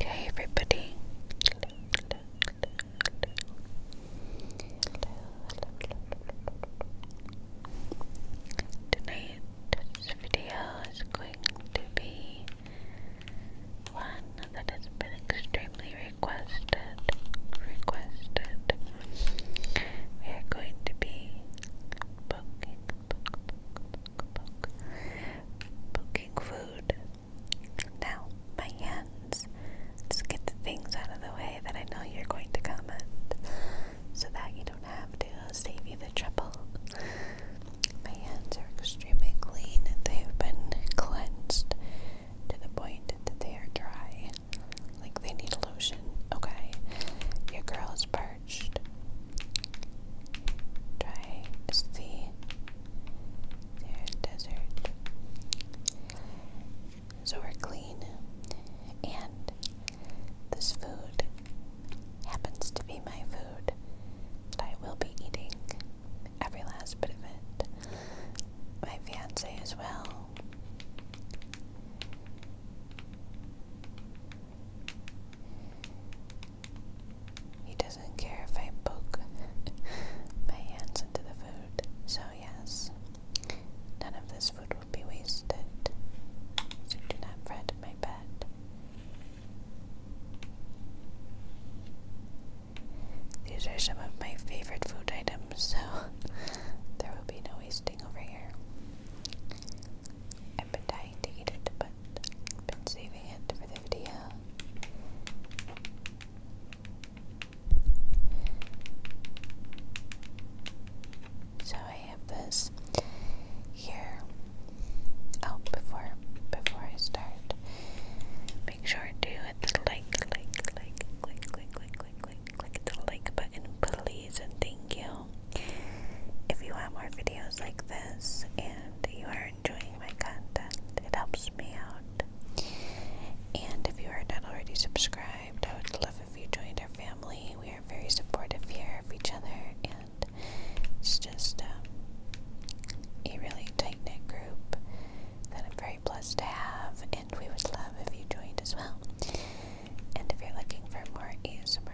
Hey everybody. Tonight's video is going to be one that has been extremely requested. We are going to be poking poke, food. Now, my hands. Just get the things out of the way that I know you're going to comment, so that you don't have to save you the trouble. My hands are extremely clean. They've been cleansed to the point that they are dry. Like they need lotion. Okay. Your girl is part Dry sea, there's desert. So we're clean, and this food happens to be my food that I will be eating every last bit of it. My fiance as well. He doesn't care if I poke my hands into the food. So, yes, none of this food will be wasted. So, do not fret, my pet. These are some of my favorite food items, so there will be no wasting over here. I've dying to eat it, but I've been saving it for the video. So I have this here. Oh, before before I start, make sure to hit the like, like, like, click, click, click, click, click, click the like button, please, and thank you. If you want more videos like this and you are enjoying my content, it helps me out. And if you are not already subscribed, I would love if you joined our family. We are very supportive here of each other, and it's just um, a really tight knit group that I'm very blessed to have. And we would love if you joined as well. And if you're looking for more ASMR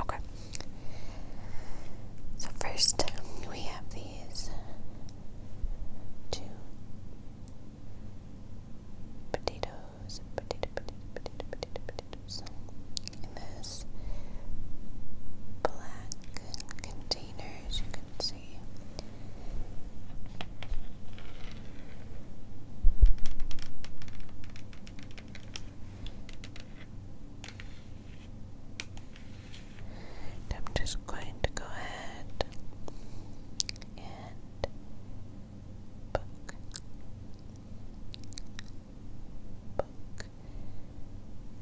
Okay. So first we have these two potatoes, potato, in this black container, I'm just going to go ahead and book, book.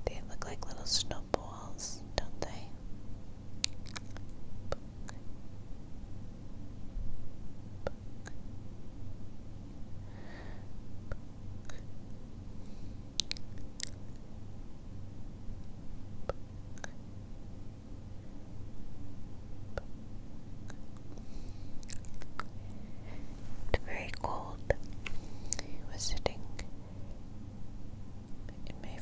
They look like little snowballs, don't they? It's very cold. He was sitting in my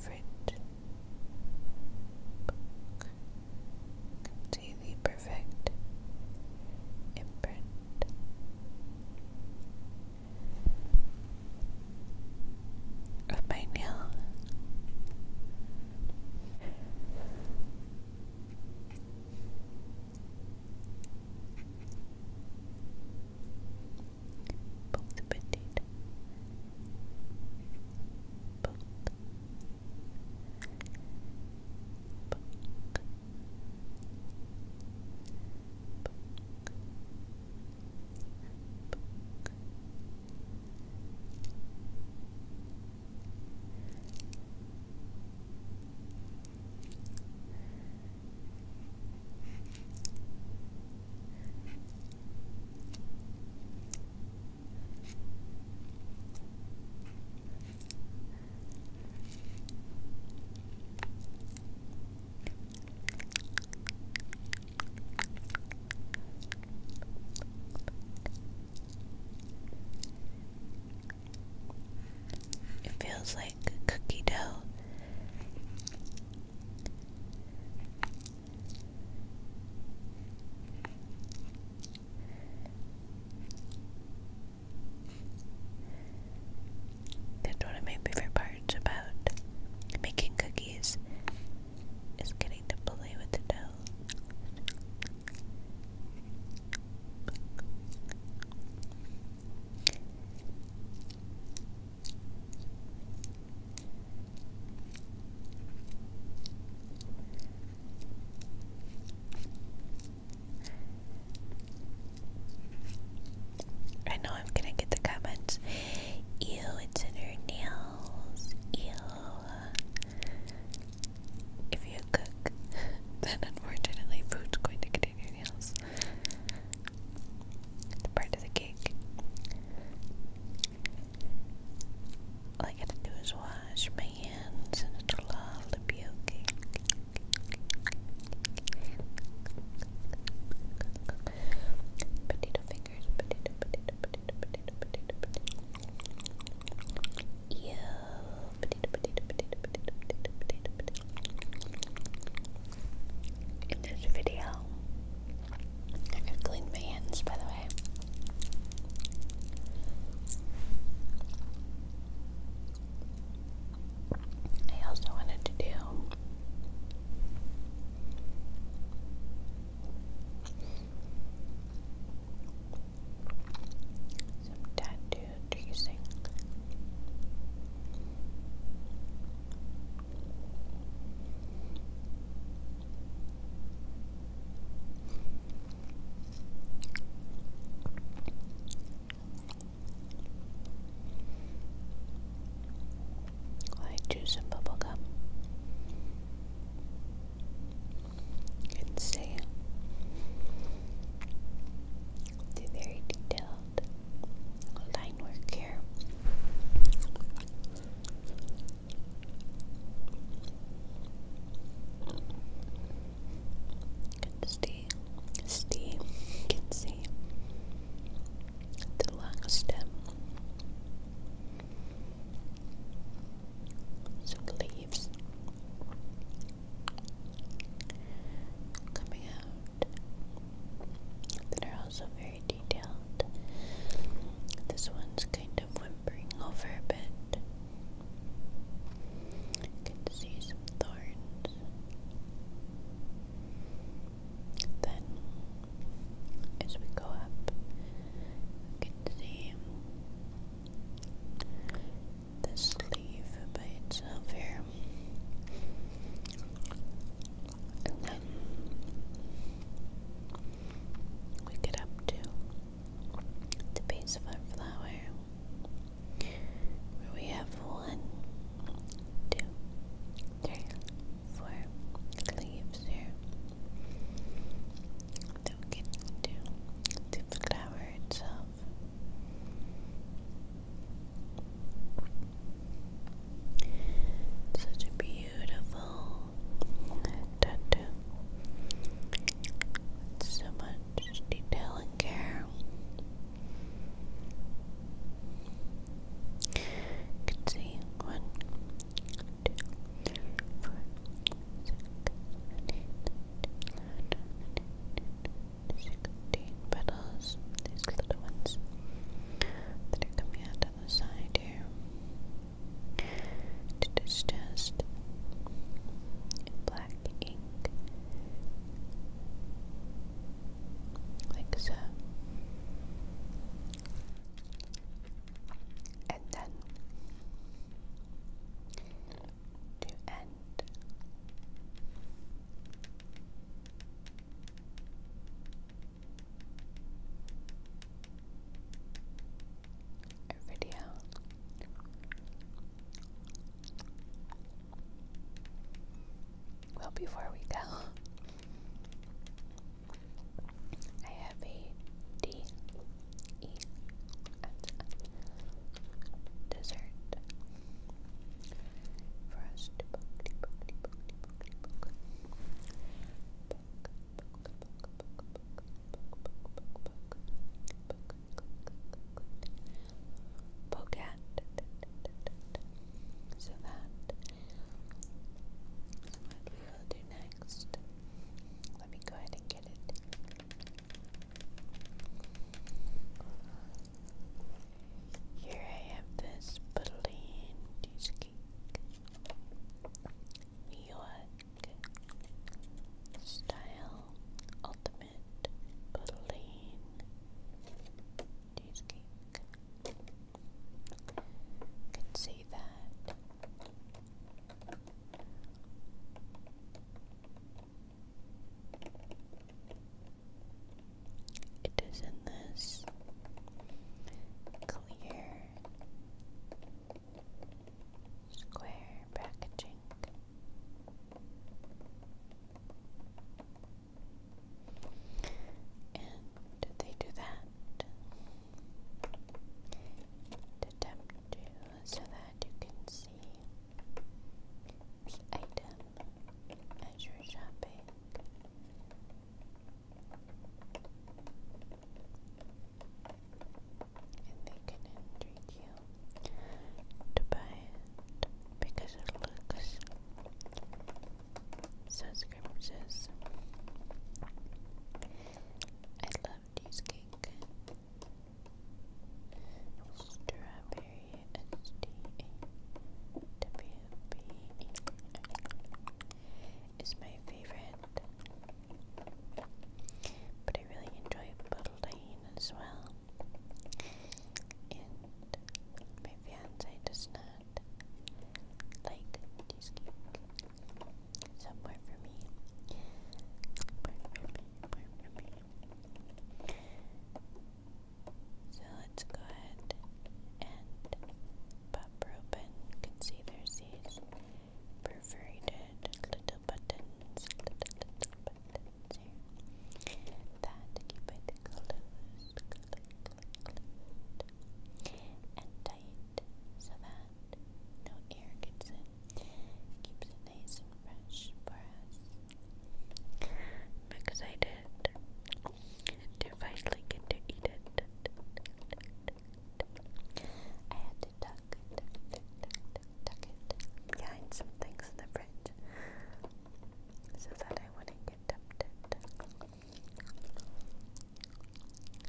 can perfect imprint. Of my nail both petite, both, both, Book. It feels like cookie dough that's one of my favorite parts about making cookies is getting to play with the dough. I know I'm gonna get the comments. Ew, it's in her nails. Ew. If you cook, then unfortunately food's going to get in your nails. It's part of the cake. All I gotta do is wash my hands and it'll all be okay. Potato fingers, potato, potato, potato, potato, potato, potato. Ew, potato, potato, potato, potato, potato, potato, potato. In this video, I've cleaned my hands, by the way. I also wanted to do some tattoo tracing. White juice and bubblegum. You can see the very detail line work here. Can see, see, can see the long stem. So leaves coming out that are also very detailed. This one's kind of whimpering over a bit. You can see some thorns. Then, as we go up, you can see the sleeve by itself here and then we get up to the base of our flower where we have one, two, three, four leaves here that we get into the flower itself. Such a beautiful tattoo. so much detail and care. You can see one, two, three, four, six, seven, eight, nine, ten, eleven, twelve, thirteen, fourteen, fifteen, sixteen, seventeen, eighteen, nineteen, twenty, twenty-one, twenty-two, twenty-three, twenty-four, twenty-five, twenty-six, twenty-seven, twenty-eight, twenty-nine, thirty, thirty-one, thirty-two, thirty-three, thirty-four, thirty-five, thirty-six, sixteen petals, these little ones that are coming out on the side here. It is just black ink, like so. And then to end, a video. Well, before we go, I have a D E dessert First, book, so that so what we will do next. Let me go ahead and get it. Here I have this plain cheesecake, New York style ultimate plain cheesecake. You can see that. It is in this clear square packaging. And they do that to tempt you so that you can see item as you're shopping. And they can entreat you to buy it because it looks subscriptions. I love cheesecake. Strawberry Berry, S T A W B E is my favorite, but I really enjoy bottled as well. And my fiance does not like cheesecake. Some for me. So let's go ahead and pop open. can see there's these perforated little buttons, little, buttons that keep it closed, and tight so that no air gets in. Keeps it nice and fresh for us. I'm excited to finally get to eat it. I had to tuck, it behind some things in the fridge so that I wouldn't get tempted.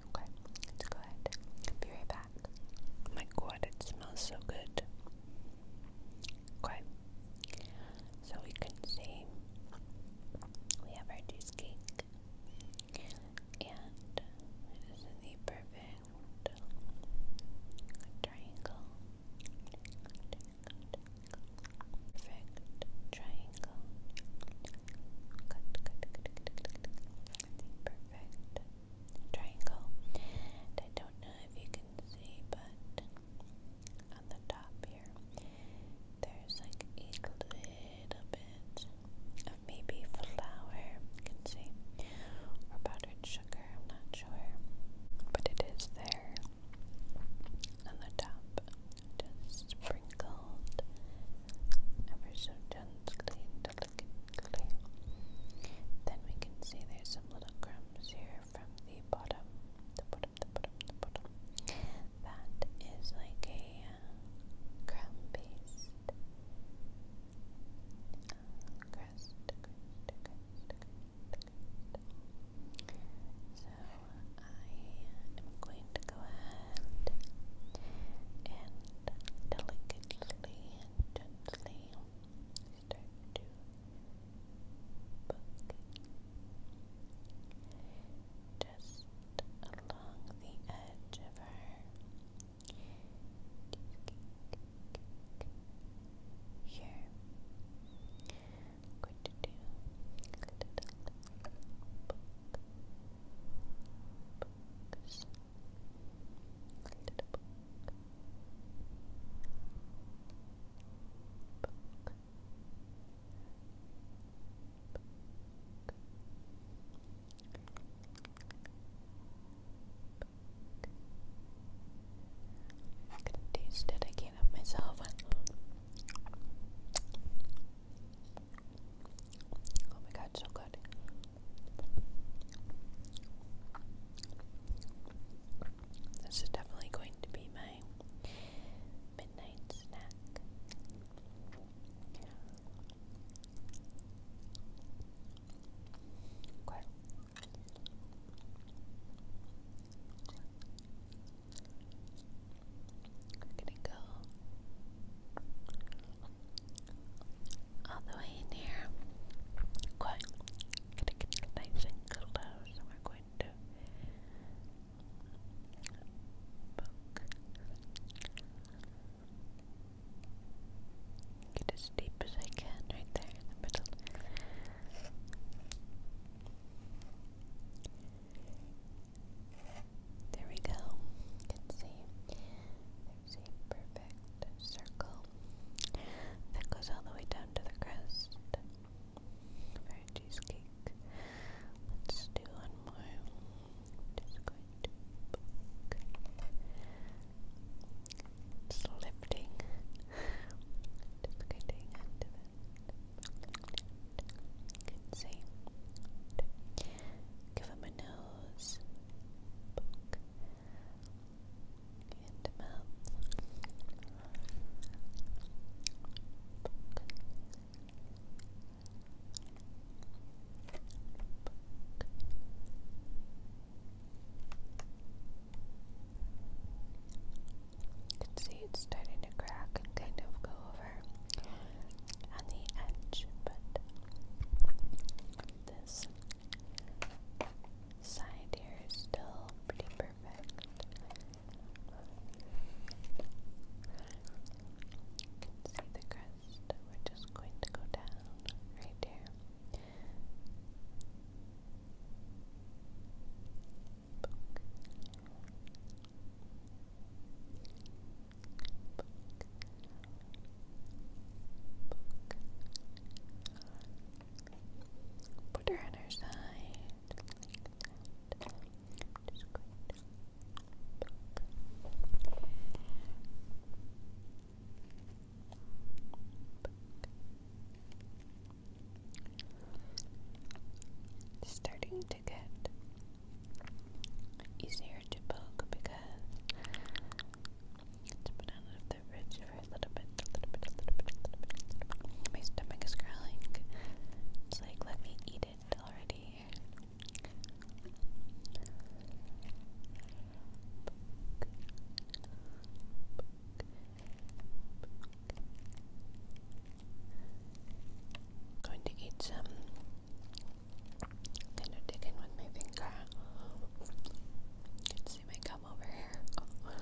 Okay, let's go my god, it smells so good. Okay, so we can see we have our cheesecake, and this the perfect triangle. Perfect triangle. Good, good, good, good, good, good. perfect triangle. And I don't know if you can see, but on the top here, there's like a little bit of maybe flour, you can see, or powdered sugar, I'm not sure, but it is there on the top, just sprinkled ever so gently and delicately. Then we can see there's some little crumbs here from the bottom, the bottom, the bottom, the bottom. That is like a uh, crumb paste. Uh, so I am going to go ahead and delicately and gently start to book just along the edge of her here. I'm going to do a little books, little book. I could taste it, I can't myself. Oh my god, so good. This is definitely going to be my midnight snack. We're gonna go all the way in here gonna nice and close we're going to Get as deep as I can right there in the middle. There we go. You can see is perfect circle that goes all the way down to the crust for cheesecake. Let's do one more. Just going to poke. It's Just going to hang see. Give him a nose into You can see it's starting to crack kind of go over on the edge, but this side here is still pretty perfect. see the crest. We're just going to go down right there. Put her on her side. Starting to get easier to poke because my stomach is growling. It's like, let me eat it already. I'm going to eat some dinner chicken with my finger. Let's see my come over here.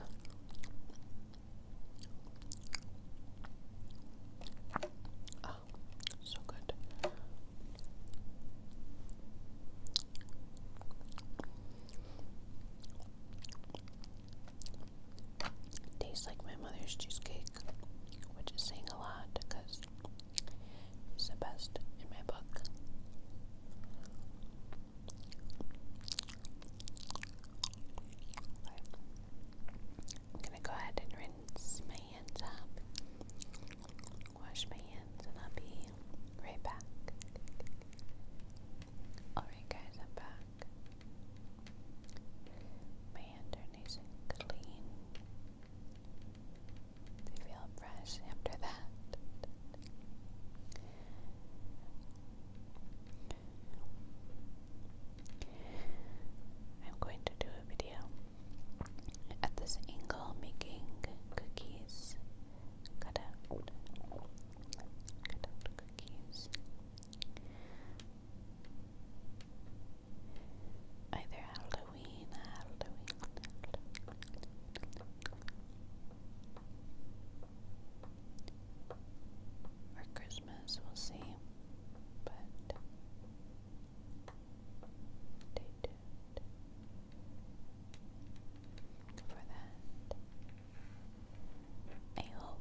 Oh. oh, so good. Tastes like my mother's cheesecake, which is saying a lot because it's the best in my book. I'm gonna go ahead and rinse my hands up, wash my hands, and I'll be right back. Alright, guys, I'm back. My hands are nice and clean. They feel fresh after that. I'm going to do a video at this angle making cookies. Cut out. Cut out cookies. Either Halloween Halloween, Or Christmas, we'll see. But for that. I hope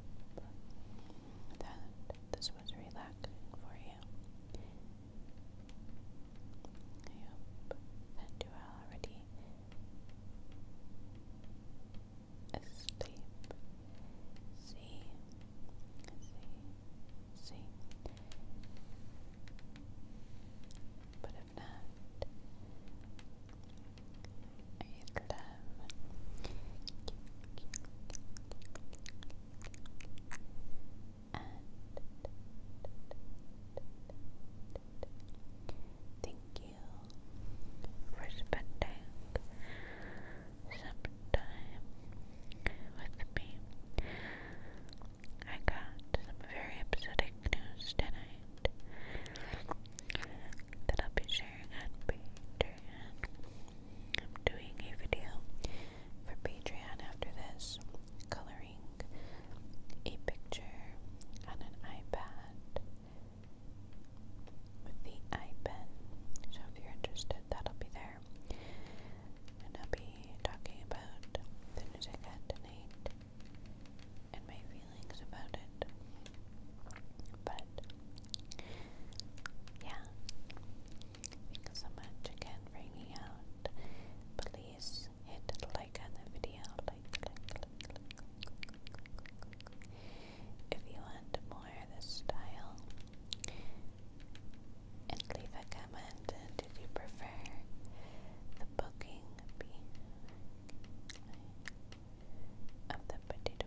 that this was relaxing for you I hope that you already asleep. See, see, see. But if not, I'd love thank you for spending some time with me. I got some very upsetting news tonight that I'll be sharing on Patreon. I'm doing a video for Patreon after this, coloring a picture on an iPad with the iPen. So if you're interested, that'll be there. And I'll be talking about the news I got and my feelings about it. But yeah, Thanks so much again for hanging out. Please hit like on the video. if you want more of this style. And leave a comment. Did you prefer the booking of the potato?